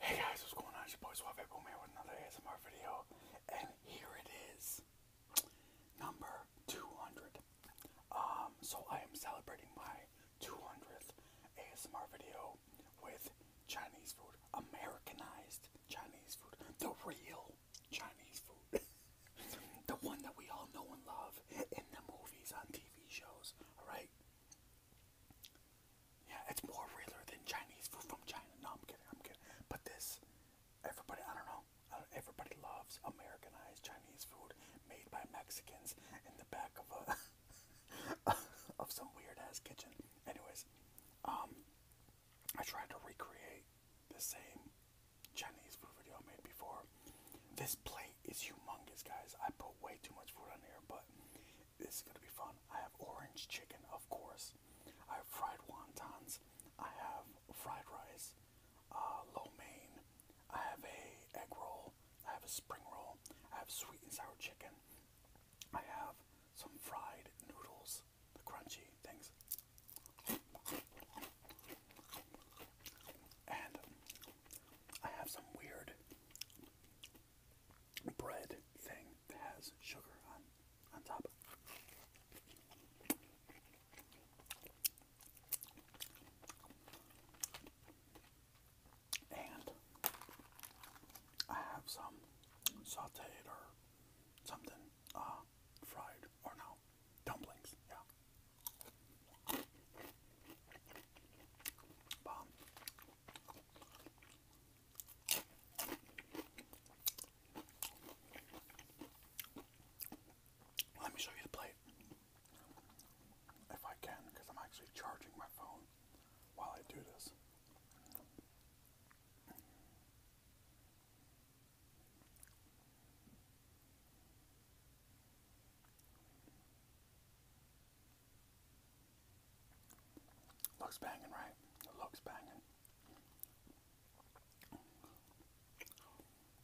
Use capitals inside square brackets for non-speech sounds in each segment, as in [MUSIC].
Hey guys, what's going on? It's your boy Suave Boom with another ASMR video, and here it is, number 200. Um, so I am celebrating my 200th ASMR video with Chinese food, Americanized Chinese food, the real Chinese food, [LAUGHS] the one that we all know and love in the movies, on TV shows, alright? Yeah, it's more realer than Chinese food from China. No, I'm kidding. I'm kidding. But this, everybody, I don't know. Uh, everybody loves Americanized Chinese food made by Mexicans in the back of a [LAUGHS] of some weird ass kitchen. Anyways, um, I tried to recreate the same Chinese food video I made before. This plate is humongous, guys. I put way too much food on here, but this is going to be fun. I have orange chicken, of course. I have fried wontons. I have fried rice, uh, lo mein. I have a egg roll. I have a spring roll. I have sweet and sour chicken. I have some fried noodles, the crunchy things. And I have some weird bread thing that has sugar on on top. And I have some sauteed or something, uh, fried, or no, dumplings, yeah. Let me show you the plate. If I can, because I'm actually charging my phone while I do this. Looks banging, right? It looks banging.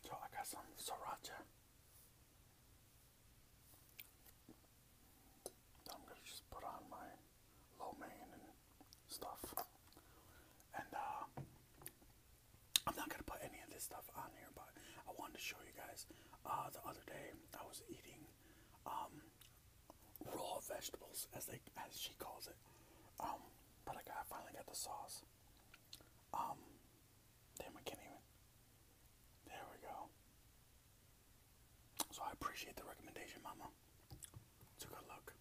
So I got some sriracha. I'm gonna just put on my lo and stuff. And uh, I'm not gonna put any of this stuff on here, but I wanted to show you guys. Uh, the other day, I was eating um, raw vegetables, as they as she calls it. Um, but I finally got the sauce. Um, damn, I can't even. There we go. So I appreciate the recommendation, Mama. It's a look.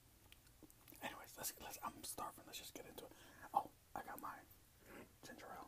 Anyways, let's let's. I'm starving. Let's just get into it. Oh, I got my ginger ale.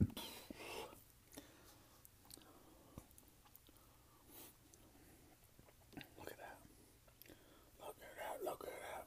Look at that. Look at that. Look at that.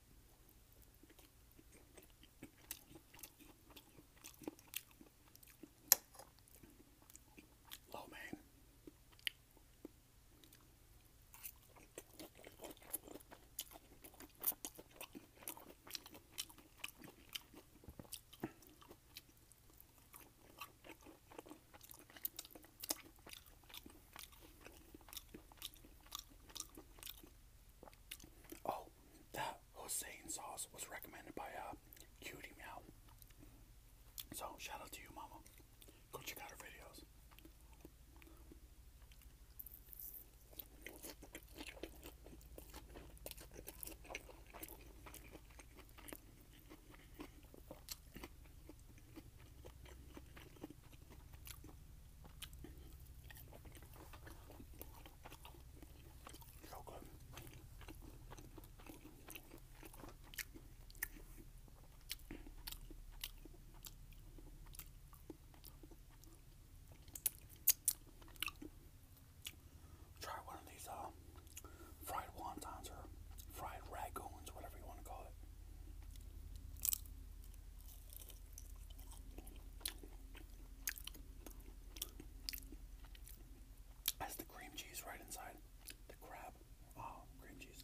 Lo oh, mein. Oh, the Hossein sauce was recommended by a uh, Cutie Meow. So, shout out to you, Mama. Go check out her videos. So Try one of these uh, fried wontons or fried ragoons, whatever you want to call it. That's the cream cheese right inside the crab. Oh, cream cheese.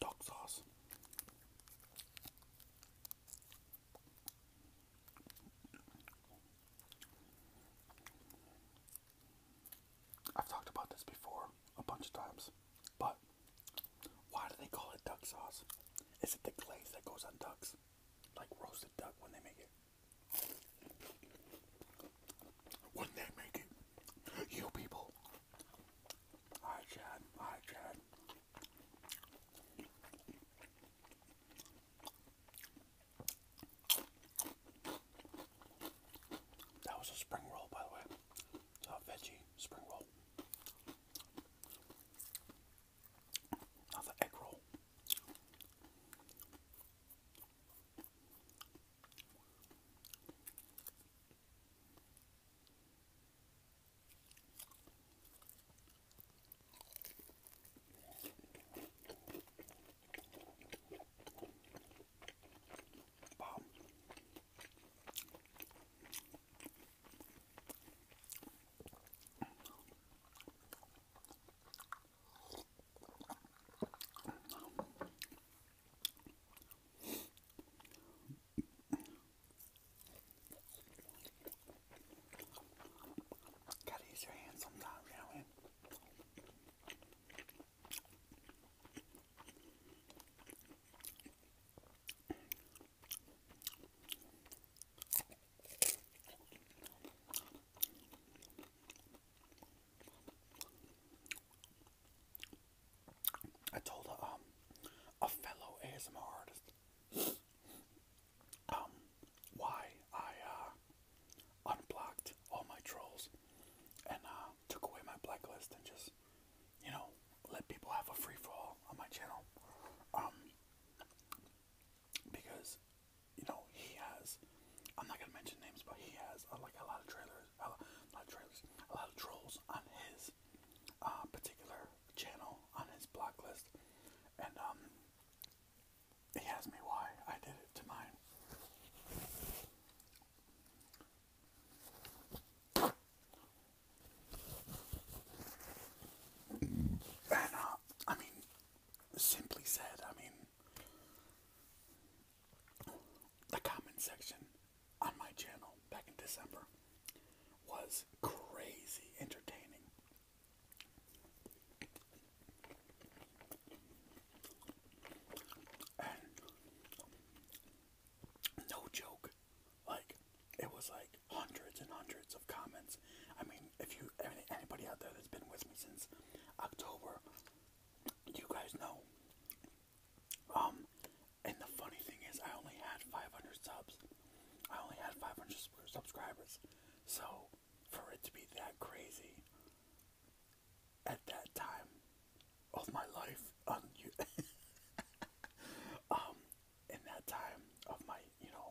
Duck sauce. I've talked about this before a bunch of times, but why do they call it duck sauce? Is it the glaze that goes on ducks? Like roasted duck when they make it? When they make it? You people. Alright, Chad. Alright, Chad. That was a spring roll, by the way. It's a veggie spring roll. Not egg roll. Wow. Gotta use your hands sometimes, you I told a, um, fellow ASMR artist um, why I uh, unblocked all my trolls and uh, took away my blacklist and just, you know, let people have a free for on my channel. Um, because, you know, he has, I'm not gonna mention names, but he has uh, like a lot of trailers, a lot of trailers, a lot of trolls on his uh, particular channel on his blacklist, and um, he asked me why I did it to mine. And uh, I mean, simply said, I mean, the comment section on my channel back in December was crazy entertaining no joke, like it was like hundreds and hundreds of comments. I mean, if you anybody out there that's been with me since October, you guys know. Um, and the funny thing is, I only had 500 subs. I only had 500 subscribers. So for it to be that crazy, at that time of my life on you [LAUGHS] um in that time of my you know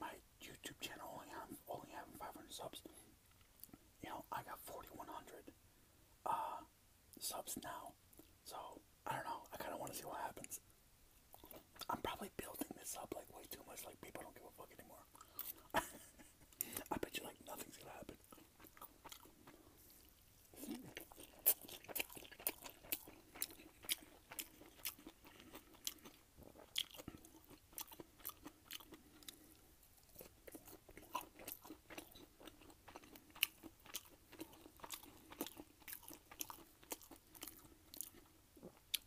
my YouTube channel only having only having 500 subs you know I got 4100 uh, subs now so I don't know I kind of want to see what happens I'm probably building this up like way too much like people don't give a fuck anymore [LAUGHS] I bet you like nothing's gonna happen.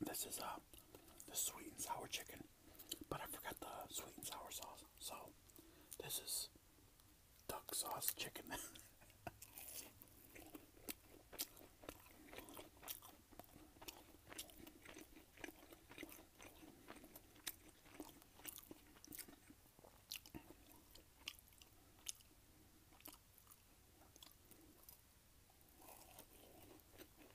This is uh, the sweet and sour chicken. But I forgot the sweet and sour sauce. So this is duck sauce chicken. [LAUGHS]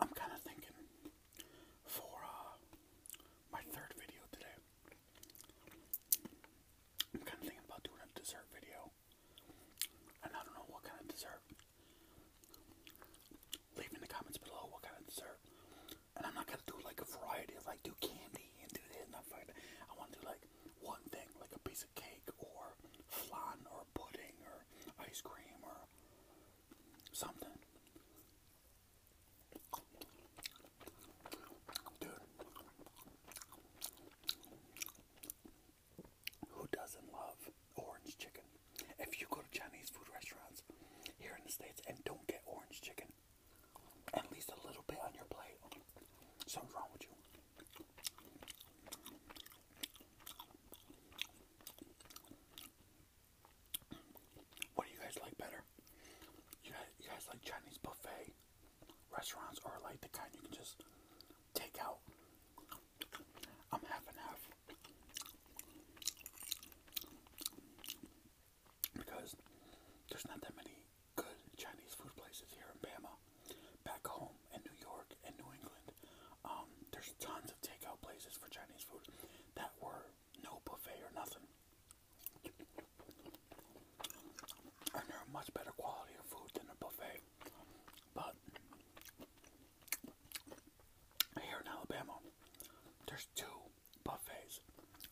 I'm kind of thinking for uh, my third video today, I'm kind of thinking about doing a dessert video. And I don't know what kind of dessert. Leave in the comments below what kind of dessert. And I'm not gonna do like a variety of like do candy and do this and that. I want to do like one thing, like a piece of cake or flan or pudding or ice cream or something. Dude, who doesn't love orange chicken? If you go to Chinese food restaurants here in the States and don't get orange chicken, at least a little bit on your plate, something's wrong with you. What do you guys like better? You guys, like Chinese buffet restaurants or like the kind you can just take out? I'm half and half. Because there's not that many good Chinese food places here in Bama, back home in New York and New England. Um, there's tons of takeout places for Chinese food that were no buffet or nothing. And they're much better quality of food than a buffet. But here in Alabama, there's two buffets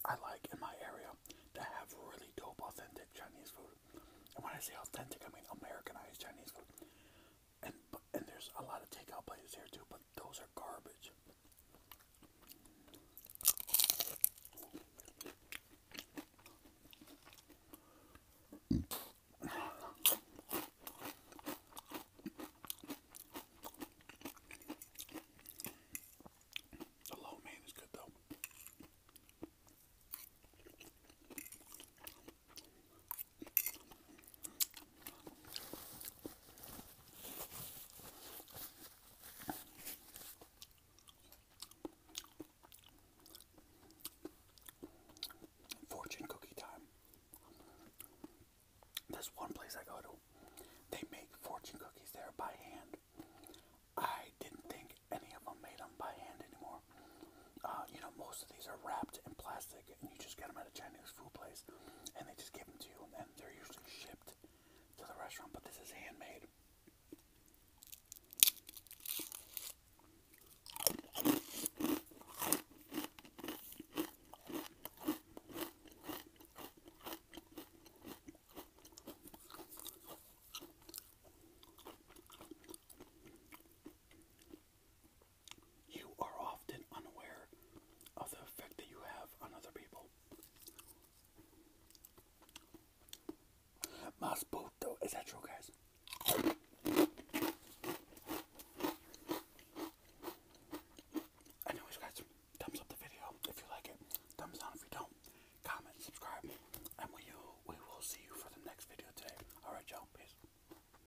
I like in my area that have really dope, authentic Chinese food. And when I say authentic, I mean Americanized Chinese food and and there's a lot of takeout places here too, but those are garbage. The low main is good though. Fortune cookie time. There's one place I go to. They make fortune cookies there by hand. I didn't think any of them made them by hand anymore. Uh, you know, most of these are wrapped in plastic and you just get them at a Chinese food place, and they just give them to you, and they're usually shipped to the restaurant. But this is handmade. You are often unaware of the effect that you have on other people. Mas is that true, guys? Anyways, guys, thumbs up the video if you like it. Thumbs down if you don't. Comment, subscribe, and we will see you for the next video today. Alright, y'all. Peace.